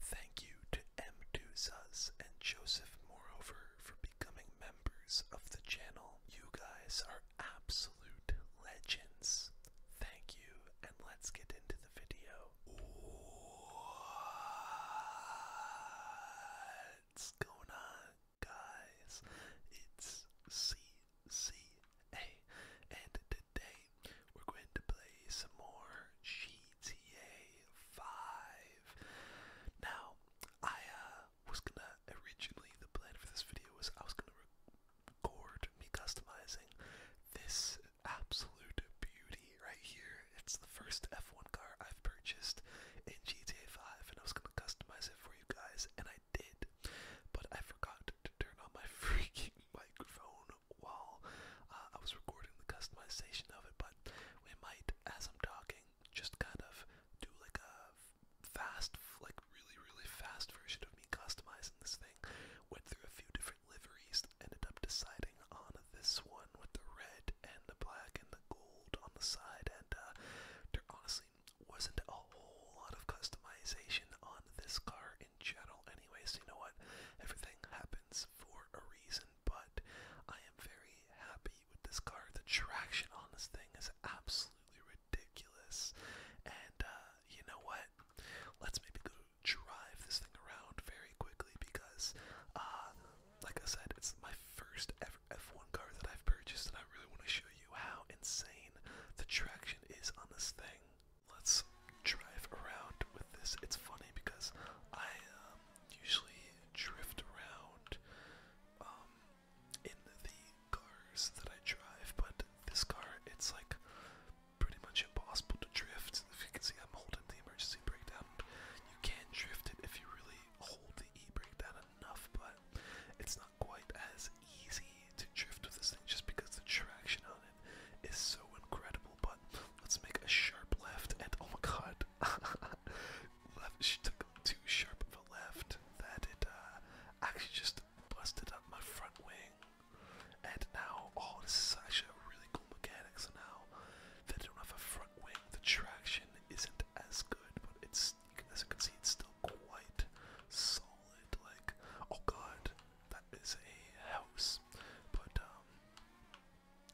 Thank you to M2 and Joseph Moreover for becoming members of the channel. You guys are absolute legends. Thank you, and let's get into the video. What's going on, guys? It's CCA, and today we're going to play some more GTA 5. Now, I uh, was gonna, originally the plan for this video was I was gonna record me customizing this absolute beauty right here. It's the first F1 car I've purchased in GTA 5 and I was gonna customize it for you guys and I did, but I forgot to turn on my freaking microphone while uh, I was recording the customization of it, but we might, as I'm talking, just kind of do like a fast, like really, really fast version of me customizing this thing. Went through a few different liveries, ended up deciding on this one with the red and the black and the gold on the side, and uh, there honestly wasn't a whole lot of customization on this car in general, anyway. So, you know what? Everything happened happens for a reason, but I am very happy with this card. The traction on this thing is absolutely ridiculous. And uh, you know what? Let's maybe go drive this thing around very quickly because, uh, like I said, it's my first ever F1 car that I've purchased, and I really want to show you how insane the traction is on this thing. Let's drive around with this. It's funny because I um, usually drift around um, in the cars that I drive, but this car, it's like pretty much impossible to drift. If you can see, I'm holding the emergency brake down. You can drift it if you really hold the e brake down enough, but it's not quite as easy to drift with this thing just because the traction on it is so incredible but let's make a sharp left and oh my god. left too sharp of a left that it uh, actually just busted up my front wing. And now oh this is actually a really cool mechanic, so now that don't have a front wing, the traction isn't as good, but it's as you can see it's still quite solid, like oh god, that is a house. But um,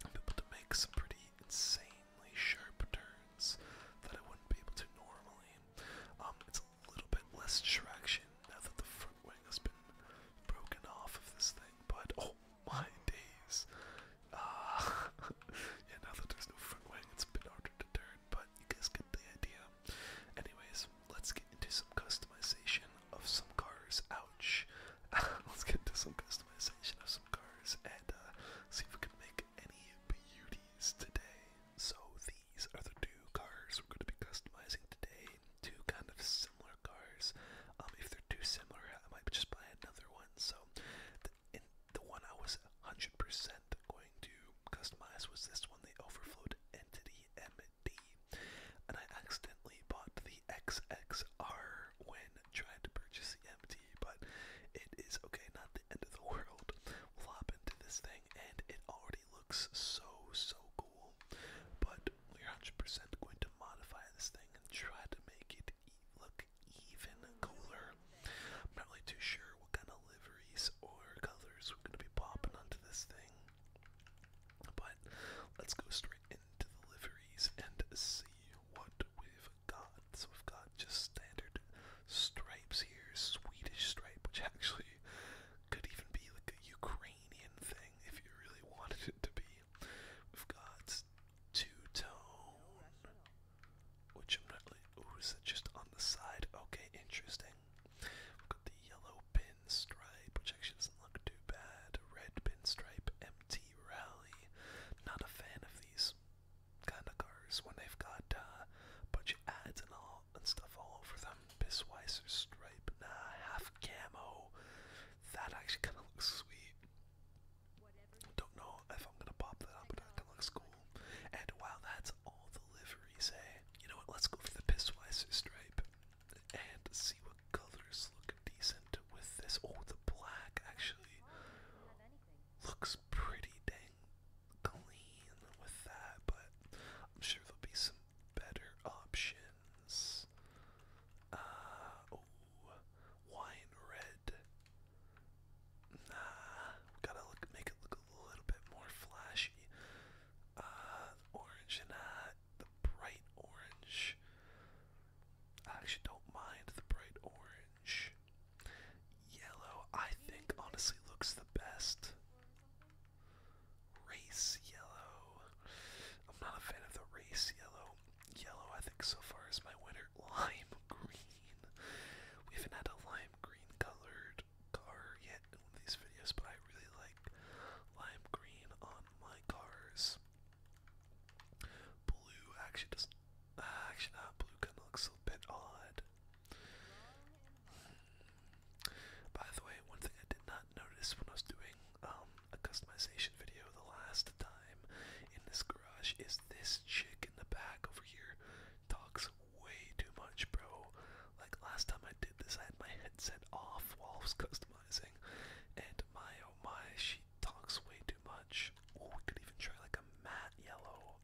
i able to make some pretty insanely sharp turns that I wouldn't be able to normally. Um, it's a little bit less traction now that the front wing has been broken off of this thing, but oh my days! Uh, yeah, now that there's no front wing, it's a bit harder to turn, but you guys get the idea. Anyways, let's get into some customization of some cars. Ouch! Let's get to some customization of some cars and uh, see if we can make any beauties today. So these are the two cars we're going to be customizing today. Two kind of similar cars. Um, if they're too similar, I might just buy another one. So the, the one I was 100% going to customize was this one, the Overflowed Entity MD. And I accidentally bought the XXR when tried to purchase the MT, but it is okay, not the end of the world. We'll hop into this thing, and it already looks so, so cool. But we're 100% going to modify this thing and try to make it look even cooler. I'm not really too sure what kind of liveries or colors we're going to be popping onto this thing. But let's go straight in into and see what we've got. So we've got just standard stripes here, Swedish stripe, which actually could even be like a Ukrainian thing if you really wanted it to be. We've got two-tone, which I'm not really, ooh, is that just on the side? Okay, interesting. We've got the yellow pinstripe, which actually doesn't look too bad. Red pinstripe, MT Rally. Not a fan of these kind of cars when they've got uh, a bunch of ads and all and stuff all over them. Bissweiser stripe, nah, half camo. That actually kind of looks sweet. Don't know if I'm gonna pop that but that kind of cool. And wow, that's all the liveries, eh? You know what? Let's go for the Pissweiser stripe and see what colors look decent with this. Oh, the black actually looks pretty dang clean with that, but I'm sure there'll be some better options. Uh, wine red. Nah, gotta look, make it look a little bit more flashy. Uh, orange and uh, the bright orange. I actually don't mind the bright orange. Yellow, I think, honestly looks the best. Race yellow. I'm not a fan of the race yellow. Yellow, I think, so far is my winner. Lime green. We haven't had a lime green colored car yet in these videos, but I really like lime green on my cars. Blue actually doesn't. Uh, actually, not uh, blue kind of looks a bit odd. By the way, one thing I did not notice when I was doing um, a customization video the last time in this garage is this chick in the back over here talks way too much, bro. Like last time I did this, I had my headset off while I was customizing, and my oh my, she talks way too much. we could even try like a matte yellow.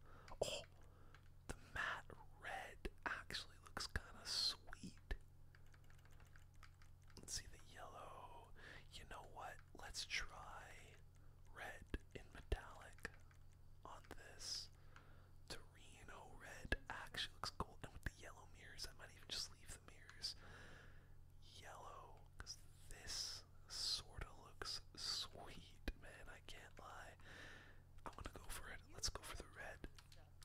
Oh, the matte red actually looks kind of sweet. Let's see the yellow. You know what? Let's try red in metallic on this. Torino red actually looks cool. And with the yellow mirrors, I might even just leave the mirrors yellow because this sorta looks sweet, man. I can't lie. I'm gonna go for it. Let's go for the red.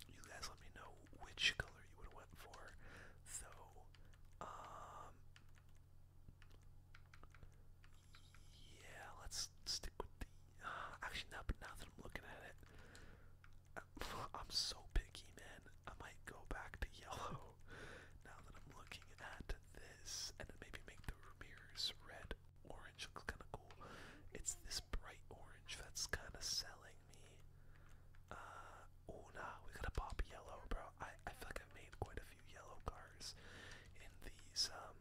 You guys let me know which color you would have went for. so, um, yeah, let's stick with the uh, actually now but now that I'm looking at it. I'm so picky, man. I might go back to yellow now that I'm looking at this, and maybe make the mirrors red. Orange looks kind of cool. It's this bright orange that's kind of selling me. Uh, we gotta pop yellow, bro. I I feel like I've made quite a few yellow cars in these um,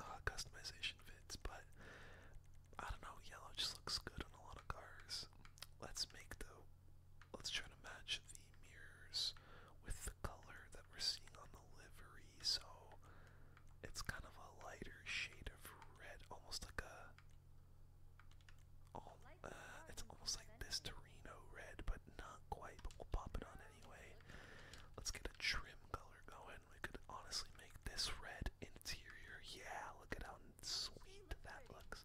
uh, customization fits, but I don't know. Yellow just looks good on a lot of cars. Let's make the let's try to match the mirrors with the color that we're seeing on the livery. So it's kind of a lighter shade of red, almost like a. Uh, it's almost like this red, but not quite. But we'll pop it on anyway. Let's get a trim color going. We could honestly make this red interior. Yeah, look at how sweet that looks.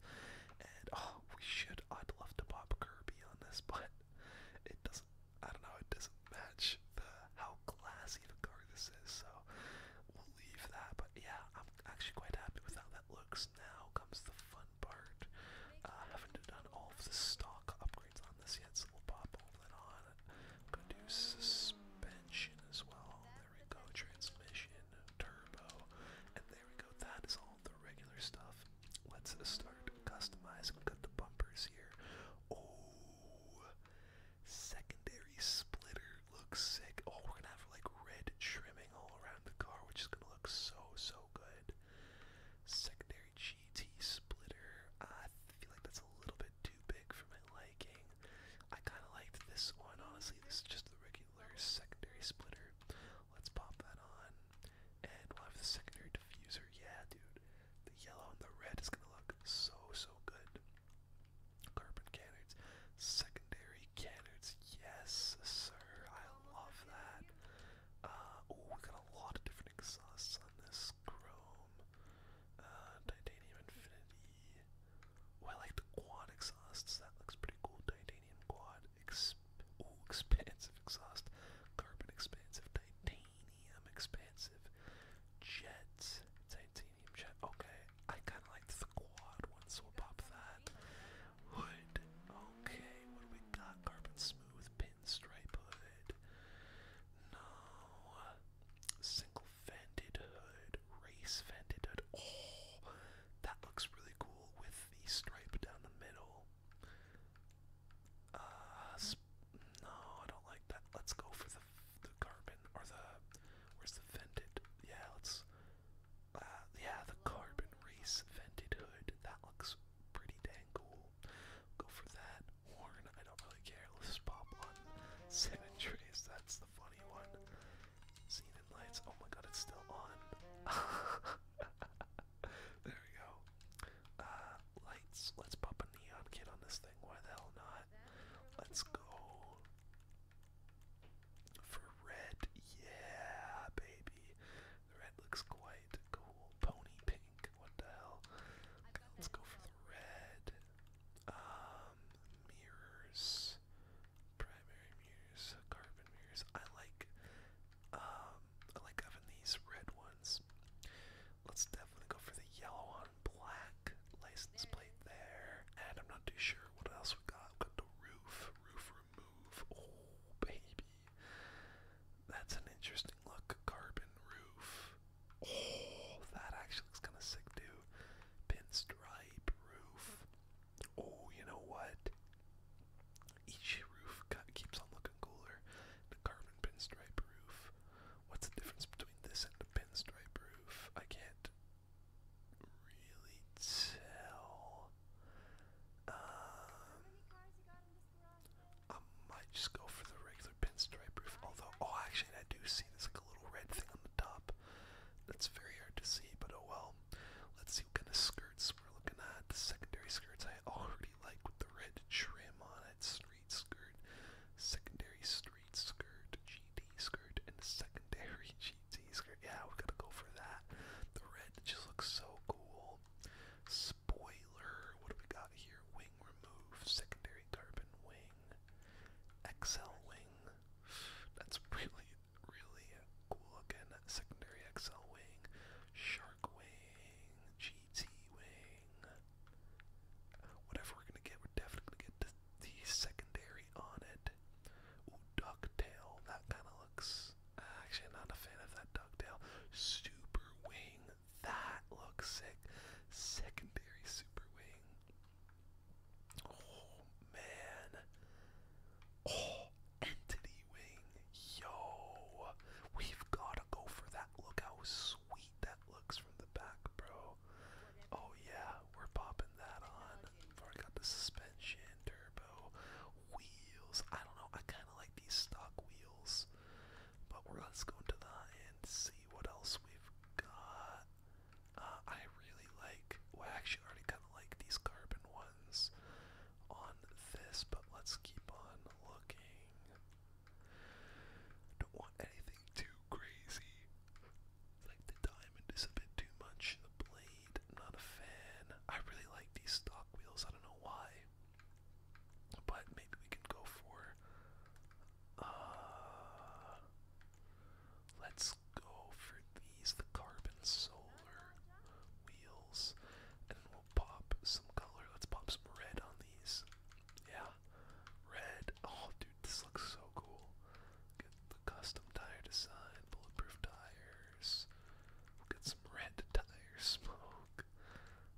And oh, we should. I'd love to pop Kirby on this, but it doesn't. I don't know. It doesn't match the how classy the car this is. So we'll leave that. But yeah, I'm actually quite happy with how that looks. Now comes the fun part. I uh, haven't done all of the stock upgrades on this yet, so we'll pop all that on. i to do suspension as well. There we go. Transmission, turbo, and there we go. That is all the regular stuff. Let's start customizing. Got the bumpers here. Oh, secondary splitter looks sick. Oh, we're gonna have like red trimming all around the car, which is gonna look so so good. Secondary GT splitter. I feel like that's a little bit too big for my liking. I kind of liked this one honestly. This is just the regular secondary splitter. Let's pop that on. And we'll have the secondary diffuser. Yeah, dude. The yellow and the red is gonna look so, so good. Carbon canards. Secondary canards. Yes, sir. I love that. oh, we got a lot of different exhausts on this chrome. Uh, titanium infinity. Oh, I like the quad exhausts. That looks pretty cool. Titanium quad exp expansive exhaust, carbon expansive, titanium expansive, jets, titanium jet. Okay, I kind of like the quad one, so pop that. Hood. Okay, what do we got? Carbon smooth pinstripe hood. No, single vented hood, race vented hood. Oh, that looks really cool with the stripe down the middle. Uh, no, I don't like that. Let's go for the the carbon or the where's the vented? Yeah, let's. Uh, yeah, the carbon race vented hood. That looks pretty dang cool. Go for that horn. I don't really care. Let's pop one. Seven trays. That's the funny one. Xena lights. Oh my god, it's still on. there we go. Uh, lights. Let's pop a neon kit on this thing. Why the hell not? Let's go for red. Yeah, baby. The red looks quite cool. Pony pink. What the hell? let's go for the red. Um, mirrors. Primary mirrors. Carbon mirrors. I like um, I like having these red ones. Let's definitely go for the yellow on black license plate there. And I'm not too sure what else we got. got the roof, roof remove. Oh, baby. That's an interesting look. Carbon roof. Oh, that actually looks kind of sick, too. Pinstripe roof. Oh, you know what? Each roof keeps on looking cooler. The carbon pinstripe roof. What's the difference between this and the pinstripe roof? I can't really tell. Um, I might just go for the regular pinstripe roof. Although, oh, actually, I do see there's like a little red thing on the top. That's very hard to see, but oh well. Let's see what kind of skirts we're looking at. The secondary skirts I already like with the red trim on it. Street skirt, secondary street skirt, GT skirt, and secondary GT skirt. Yeah, we gotta go for that. The red just looks so cool. Spoiler, what do we got here? Wing remove, secondary carbon wing, XL wing. That's really really cool looking secondary XL wing, shark wing, GT wing. Whatever we're gonna get, we're definitely get the, secondary on it. Ooh, ducktail. That kind of looks. Actually, not a fan of that ducktail. Super wing. That looks sick. Secondary super wing. Oh man, Oh, entity wing. Yo, we've gotta go for that. Look how sweet that looks from the back, bro. Oh yeah, we're popping that on. I got the suspension, turbo, wheels. I don't know. I kind of like these stock wheels, but we're let's go into that and see what else we've got. Uh, I really like. I actually already kind of like these carbon ones on this, but let's keep on looking. Don't want anything too crazy. Like the diamond is a bit too much. The blade, not a fan. I really like these stock wheels. I don't know why. But maybe we can go for. Uh, let's go for these. The carbon soul wheels, and we'll pop some color. Let's pop some red on these. Yeah, red. Oh, dude, this looks so cool. Get the custom tire design, bulletproof tires. We'll get some red tire smoke.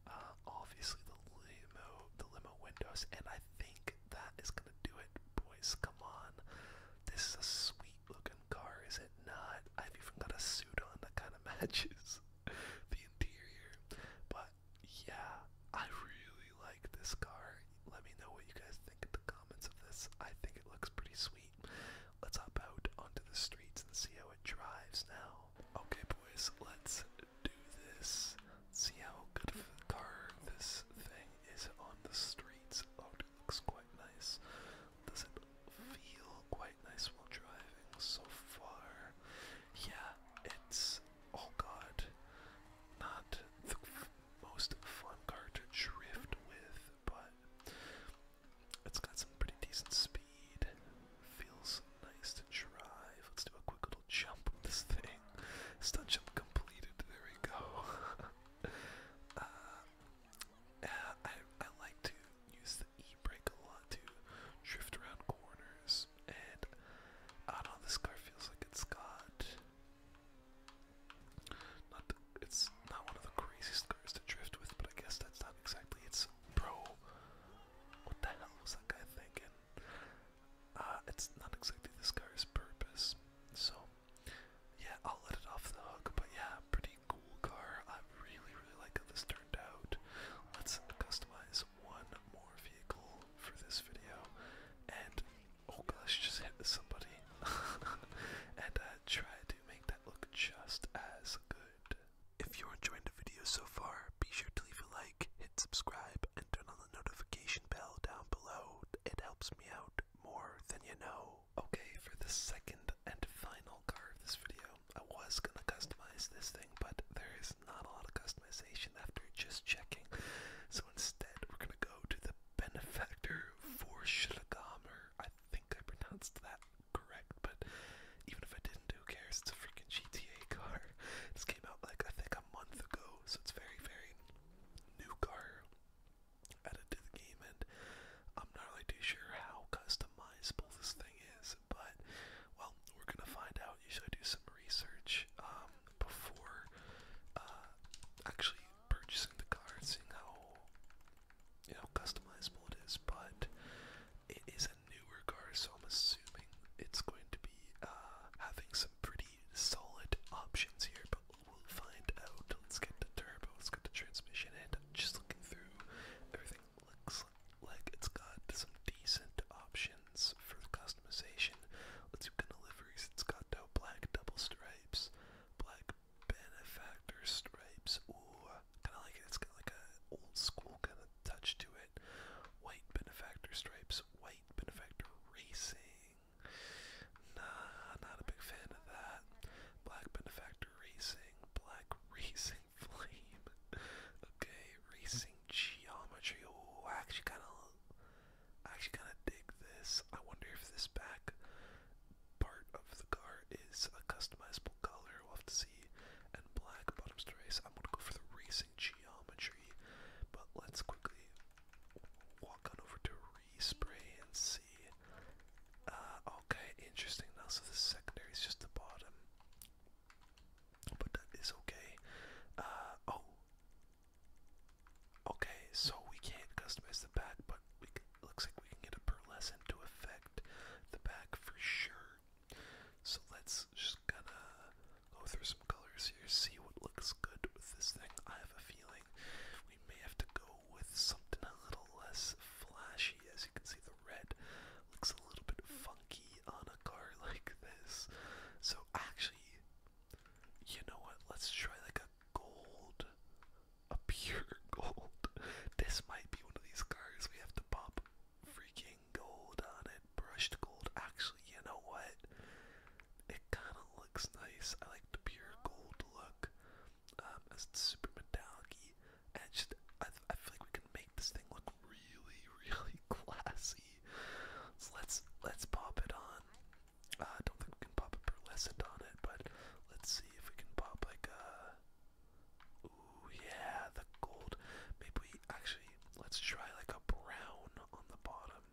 Uh, obviously the limo, the limo windows, and I think that is gonna do it, boys. Come on, this is sweet looking car, is it not? I've even got a suit on that kind of matches the interior. But yeah, I really like this car. Let me know what you guys think in the comments of this. I think it looks pretty sweet. Let's hop out onto the streets and see how it drives now. Okay, boys, let's do this. See how good of a car this thing is on the streets. Oh, it looks quite nice. Does it feel quite nice while driving so far. Yeah, it's oh god, not the most fun car to drift with, but it's got some pretty decent speed. Feels nice to drive. Let's do a quick little jump with this thing. Stunt jump completed. There we go. uh, yeah, I I like to use e-brake a lot to drift around corners, and I don't know, this car feels like it's got, not it's not one of the craziest cars to drift with, but I guess that's not exactly its pro, what the hell was that guy thinking? Uh, it's not exactly this car's purpose, so yeah, I'll let it off the hook, but yeah, pretty pretty cool car. I really, really like how this turned out. Let's customize one more vehicle for this video. And oh gosh, just hit somebody. and uh, try to make that look just as good. If you're enjoying the video so far, be sure to leave a like, hit subscribe, and turn on the notification bell down below. It helps me out more than you know. Okay, for the second and final card of this video. I was gonna customize this thing, but there is not a lot of customization after just checking. So instead, we're gonna go to the benefactor for Shilagamer. I think I pronounced that correct, but even if I didn't, who cares? It's a freaking GTA car. This came out like I think a month ago, so it's very, very new car added to the game, and I'm not really too sure how customizable this thing is, but well, we're gonna find out. You should do some research um, before uh, actually purchasing the car and seeing how you know customizable it is. But it is a newer car, so I'm assuming it's going to be uh, having some pretty solid options here. But we'll find out. Let's get the turbo. Let's get the transmission. And just looking through everything looks like it's got some decent options for customization. Let's do liveries. It's got no black double stripes, black benefactor stripes. Ooh, kind of like it. It's got like an old school kind of touch to it. White benefactor stripes, white benefactor racing. Nah, not a big fan of that. Black benefactor racing, black racing. Flame. Okay, Racing Geometry. Oh, I actually kind of, actually kind of dig this. I wonder if this back part of the car is a customizable color. We'll have to see. And black bottoms to race. I'm gonna go for the Racing Geometry. But let's quickly walk on over to respray and see. Uh, okay, interesting. Now, so the secondary is just the bottom. But that is okay. Uh, oh. Okay, so we can't customize the back, but looks like we can get a pearlescent to affect the back for sure. So let's just gonna go through some colors here, see what looks good with this thing. I have a feeling we may have to go with something a little less flashy. As you can see, the red looks a little bit funky on a car like this. So actually, you know what? Let's try like a gold, a pure gold. This might be one of these cars we have to pop freaking gold on it, brushed gold. Actually, you know what? It kind of looks nice. I like the pure gold look. Um, it's super metallic and just, I, I feel like we can make this thing look really, really classy. So let's let's pop it on. Uh, I don't think we can pop a pearlescent on it, but let's see if we can pop like a. Uh, ooh yeah, the gold. Maybe actually let's try like a brown on the bottom.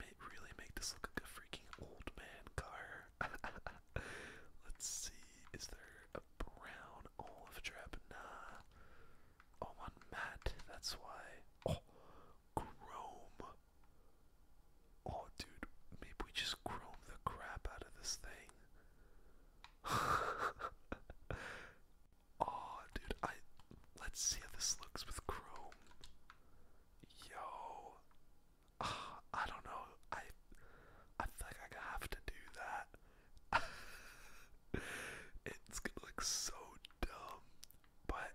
May really make this look like a freaking old man car. let's see, is there a brown olive Drabna. Oh, on matte, that's why. Oh, chrome. Oh, dude, maybe we just chrome the crap out of this thing. oh, dude, I. Let's see how this looks with chrome. Yo. Ah, I don't know. I. I think I have to do that it's gonna look so dumb, but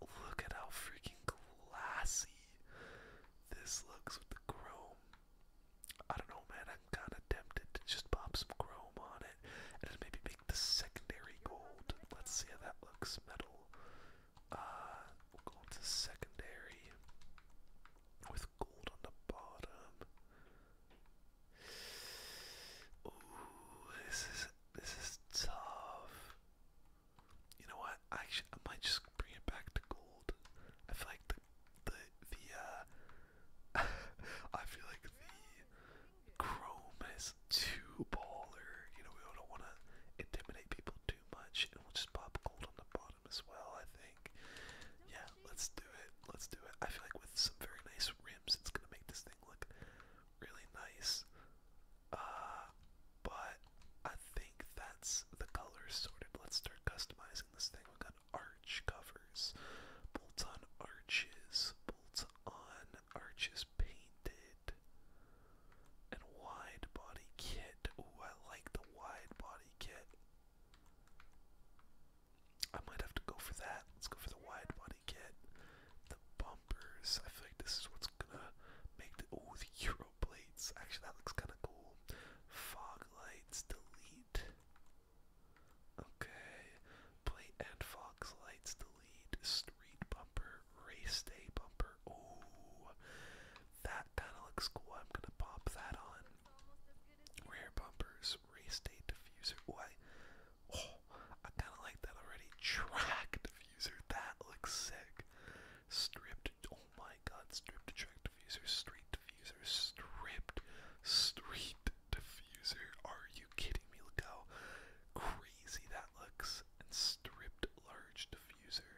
look at how freaking glassy this looks with the chrome. I don't know, man. I'm kind of tempted to just pop some chrome on it and maybe make the secondary gold. Let's see how that looks. Metal. Uh, we secondary with gold on the bottom. Ooh, this is this is tough. You know what? I actually, I might just bring it back to gold. I feel like the the the uh, I feel like the chrome is too baller. You know, we don't want to intimidate people too much, and we'll just pop gold on the bottom as well, I think. Yeah, let's do it. Let's do it. I feel like with some very nice rims, it's gonna make this thing look really nice. Uh, but I think that's the colors sorted. Let's start customizing this thing. we got arch covers, bolts on arches, bolts on arches painted, and wide body kit. Ooh, I like the wide body kit. I might have to go for that. Let's go for the wide body kit. The bumpers. I feel like this is what's gonna make the oh the Euro plates. Actually that looks kinda cool. Fog lights, delete. Okay. Plate and fog lights, delete. Street bumper, race day bumper. Oh that kinda looks cool. I'm gonna pop that on. Rare bumpers, restate diffuser. oh, I kind of like that already. Track diffuser, that looks sick. Stripped, oh my god, stripped track diffuser, street diffuser, stripped, street diffuser. Are you kidding me? Look how crazy that looks. stripped large diffuser.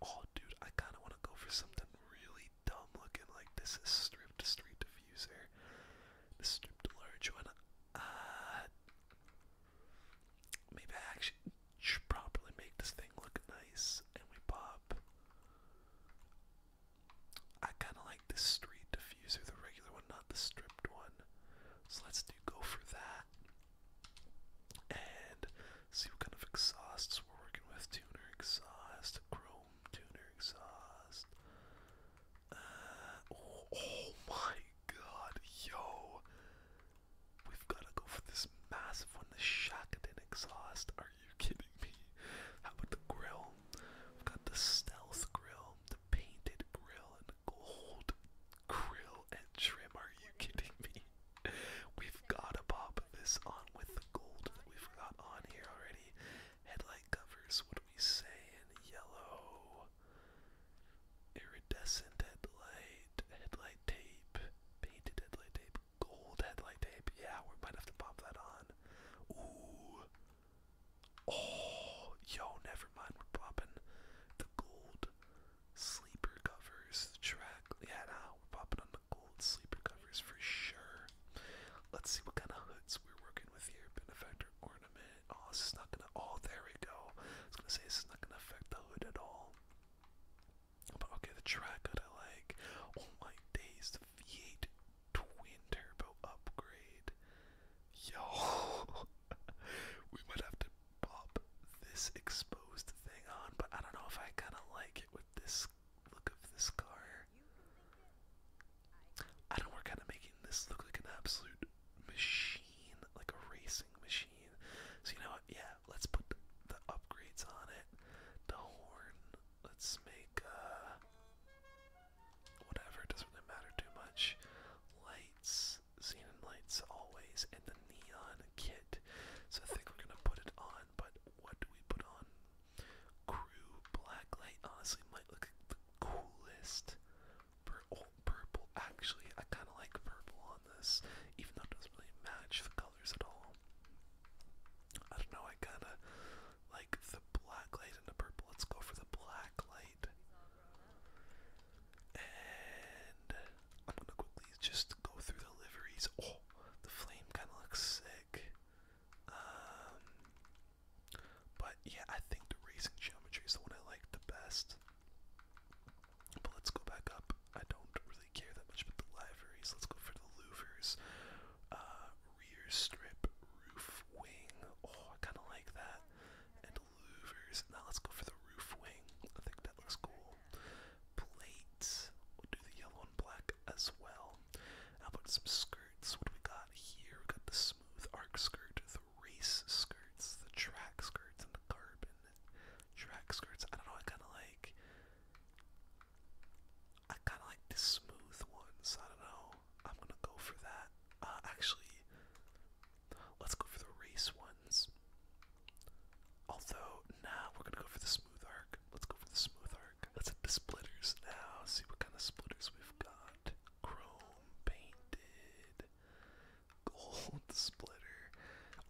Oh, dude, I kind of want to go for something really dumb looking like this is stripped street diffuser. The stripped large one. Uh maybe I actually should properly make this thing look nice and we pop. I kinda like the street diffuser, the regular one, not the stripped one. So let's do go for that. And see what kind of exhausts we're working with. Tuner exhaust, chrome tuner exhaust. Uh, oh, my god, yo! We've gotta go for this massive one, the Shakadin exhaust. Are you kidding me? How about the grill? We've got the stealth grill, the painted grill, and the gold grill and trim. Are you kidding me? We've gotta pop this on with the gold that we've got on here already. Headlight covers, what are we saying? Yellow. Iridescent headlight. Headlight tape. Painted headlight tape. Gold headlight tape. Yeah, we might have to pop that on. Ooh. Oh, yo, never mind. We're popping the gold sleeper covers. The track. Yeah, nah, we're popping on gold sleeper covers for sure. Let's see what kind of hoods we're working with here. Benefactor ornament. Oh, this is not gonna. Oh, there we go. I was gonna say this is not gonna affect the hood at all. But okay, the track hood I like. Oh my days, the V8 twin turbo upgrade. Yo, we might have to pop this exposed thing on, but I don't know if I kind of like it with this look of this car. I don't know, we're kind of making this look like an absolute machine, like a racing machine. So, you know Yeah, let's put the, upgrades on it. The horn. Let's make, uh. Whatever, doesn't matter too much. Lights. Xenon lights always. And the neon kit. So, I think we're gonna put it on but what do we put on? Crew black light honestly might look the coolest. Pur oh, purple. Actually, I kind of like purple on this, even though it doesn't really match the colors at all. I don't know. I kind of like the black light and the purple. Let's go for the black light. And I'm gonna quickly just go through the liveries. Oh, the flame kind of looks sick. Um, but yeah, I think the racing geometry is the one I like the best. But let's go back up. I don't really care that much about the liveries. Let's go for the louvers. Uh, rear strip, roof wing. Oh, I kind of like that. And louvers. Now let's go for the roof wing. I think that looks cool. Plates. We'll do the yellow and black as well. How about some skirts? What do we got here? We got the smooth arc skirt, the race skirts, the track skirts, and the carbon track skirts. I don't know. I kind of like. I kind of like the smooth ones. I don't know. I'm gonna go for that. Uh, actually, let's go for the race ones. Although, nah, we're gonna go for the smooth arc. Let's go for the smooth arc. Let's hit the splitters now. See what kind of splitters we've got. Chrome painted. Gold splitter.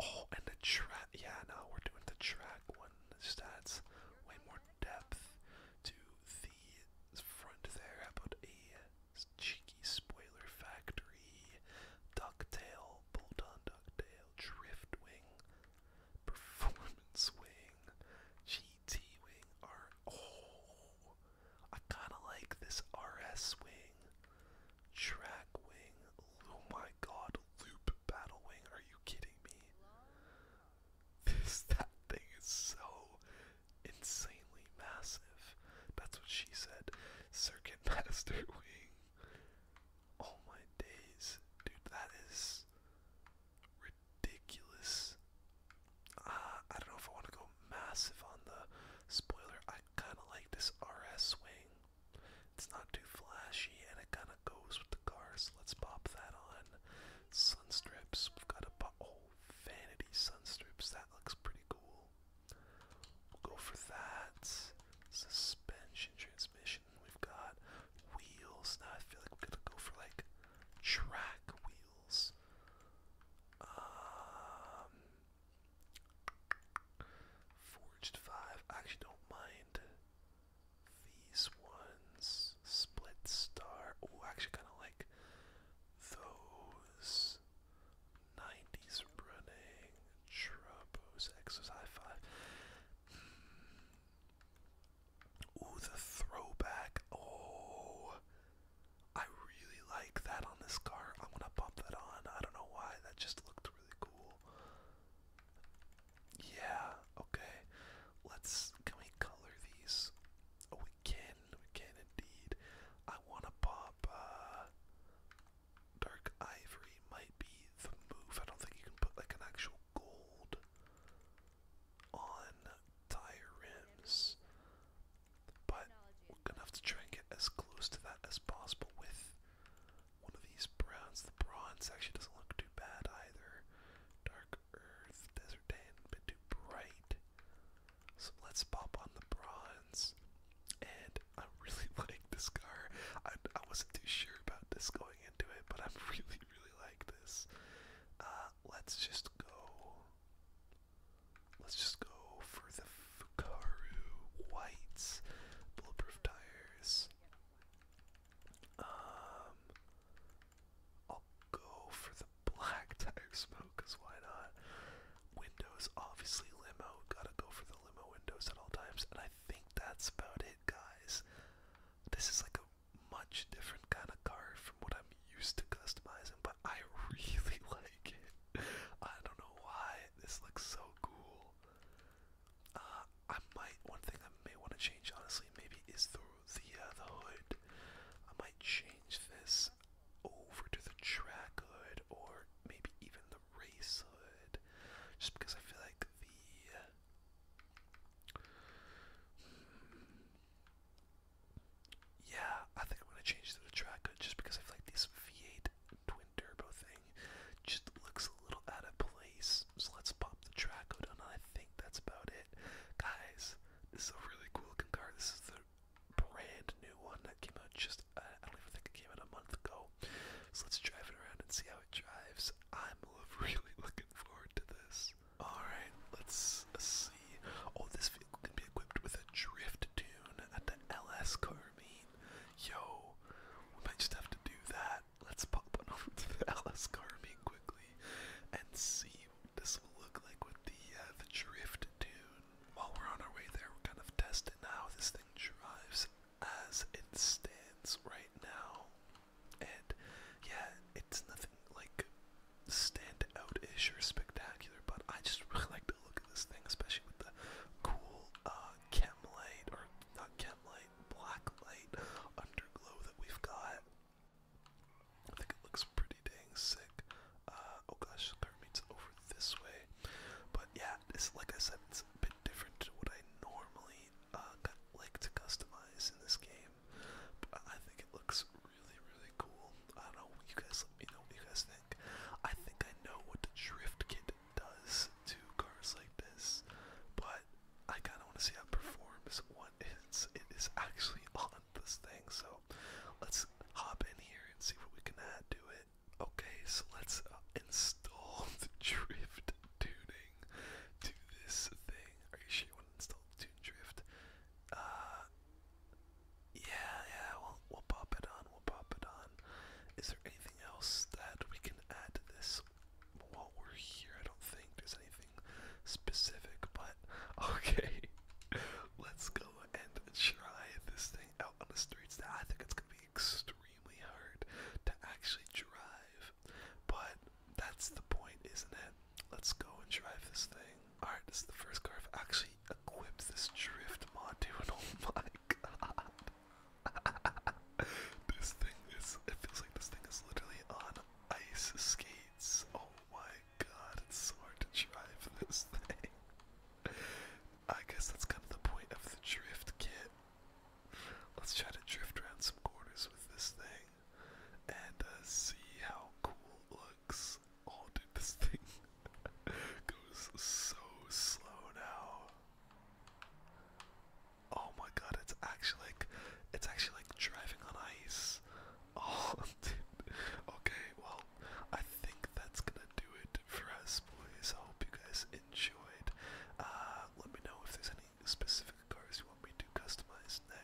Oh, and the track. Yeah, no, we're doing the track one. It way more depth to the front there. How about a cheeky spoiler factory? Ducktail, bolt on ducktail, drift wing, performance wing. T-Wing, R, oh, I kinda like this RS wing, track wing, oh my god, loop battle wing, are you kidding me? This, that thing is so insanely massive, that's what she said, circuit master wing, all oh my days, dude that is, ridiculous. Uh, I don't know if I want to go massive on the spoiler. I kind of like this RS swing. It's not too flashy and it kind of goes with the car, so let's pop that on. Sun strips. We've got a oh, vanity sun strips. That looks pretty cool. We'll go for that. Suspension transmission. We've got wheels. Now I feel like we're gonna go for like track wheels. Um, forged five. I actually don't mind these ones. Split star. Oh, actually kind of like those. 90s running. Trubos. Exercise five. Hmm. Ooh, the throwback. Oh, I really like that on this car. I'm gonna pop that on. I don't know why. That just looked really cool. Yeah. Okay. Let's. Can we color these? Oh, we can. We can indeed. I wanna pop. Uh, dark ivory might be the move. I don't think you can put like an actual gold on tire rims. But we're gonna have to try and get as close to that as possible with one of these browns. The bronze actually doesn't look too bad either. Dark earth, desert tan, a bit too bright. So let's pop on the bronze. And I am really like this car. I, I wasn't too sure about this going into it, but I am really, really like this. Uh, let's just go. Let's just go for the Fukaru Whites, Bulletproof Tires. Um, I'll go for the black tire smoke, because why not? Windows, obviously limo. Gotta go for the limo windows at all times. And I think that's about it, guys. This is like a much different kind of card from what I'm used to customizing, but I really like it. I don't know why. This looks so cool. Uh, I might one thing I may want to change honestly maybe is the uh, the hood. I might change this over to the track hood or maybe even the race hood, just because I feel like the. Uh, yeah, I think I'm gonna change the track just because I feel like this V8 twin turbo thing just looks a little out of place. So let's pop the track out and I think that's about it. Guys, this is a really cool looking car. This is the brand new one that came out just uh, I don't even think it came out a month ago. So let's drive it around and see how it drives. I'm really looking forward to this. Alright, let's see. Oh, this vehicle can be equipped with a drift tune at the LS car meet. Yo, we might just have to do that. Let's pop on over to the LS car meet quickly and see what this will look like with the, uh, the drift tune. While we're on our way there, we're kind of testing how this thing drives as it stands right now. And yeah, it's nothing like stand out-ish or spectacular, but I just really like the look of this thing, especially with the cool uh, chem light, or not chem light, black light underglow that we've got. I think it looks pretty dang sick. Uh, oh gosh, the meets over this way. But yeah, it's like I said, it's a bit different to what I normally uh, like to customize in this game. But I think it looks really, really cool. I don't know. You guys let me know what you guys think. I think I know what the drift kit does to cars like this, but I kind of want to see how it performs when it's, it is actually on this thing. So let's hop in here and see what we can add it. Okay, so let's uh, install the drift tuning to this thing. Are you sure you want to install tune drift? Uh, yeah, yeah, we'll we'll pop it on. We'll pop it on. Is there anything else that we can add to this while we're here? I don't think there's anything specific, but okay. Let's go and try this thing out on the streets. Now I think it's gonna be extremely hard to actually drive, but that's the point, isn't it? Let's go and drive this thing. Alright, this is the first car I've actually equipped this drift mod to, and oh my god. this thing is, it feels like this thing is literally on ice skates. Oh my god, it's so hard to drive this thing. I guess that's kind of the point of the drift kit. Let's try to drift around some corners with this thing and uh, see how cool it looks. Oh, dude, this thing goes so slow now. Oh my god, it's actually like it's actually like driving on ice. Oh, dude. Okay, well, I think that's gonna do it for us, boys. I hope you guys enjoyed. Uh, let me know if there's any specific cars you want me to customize next.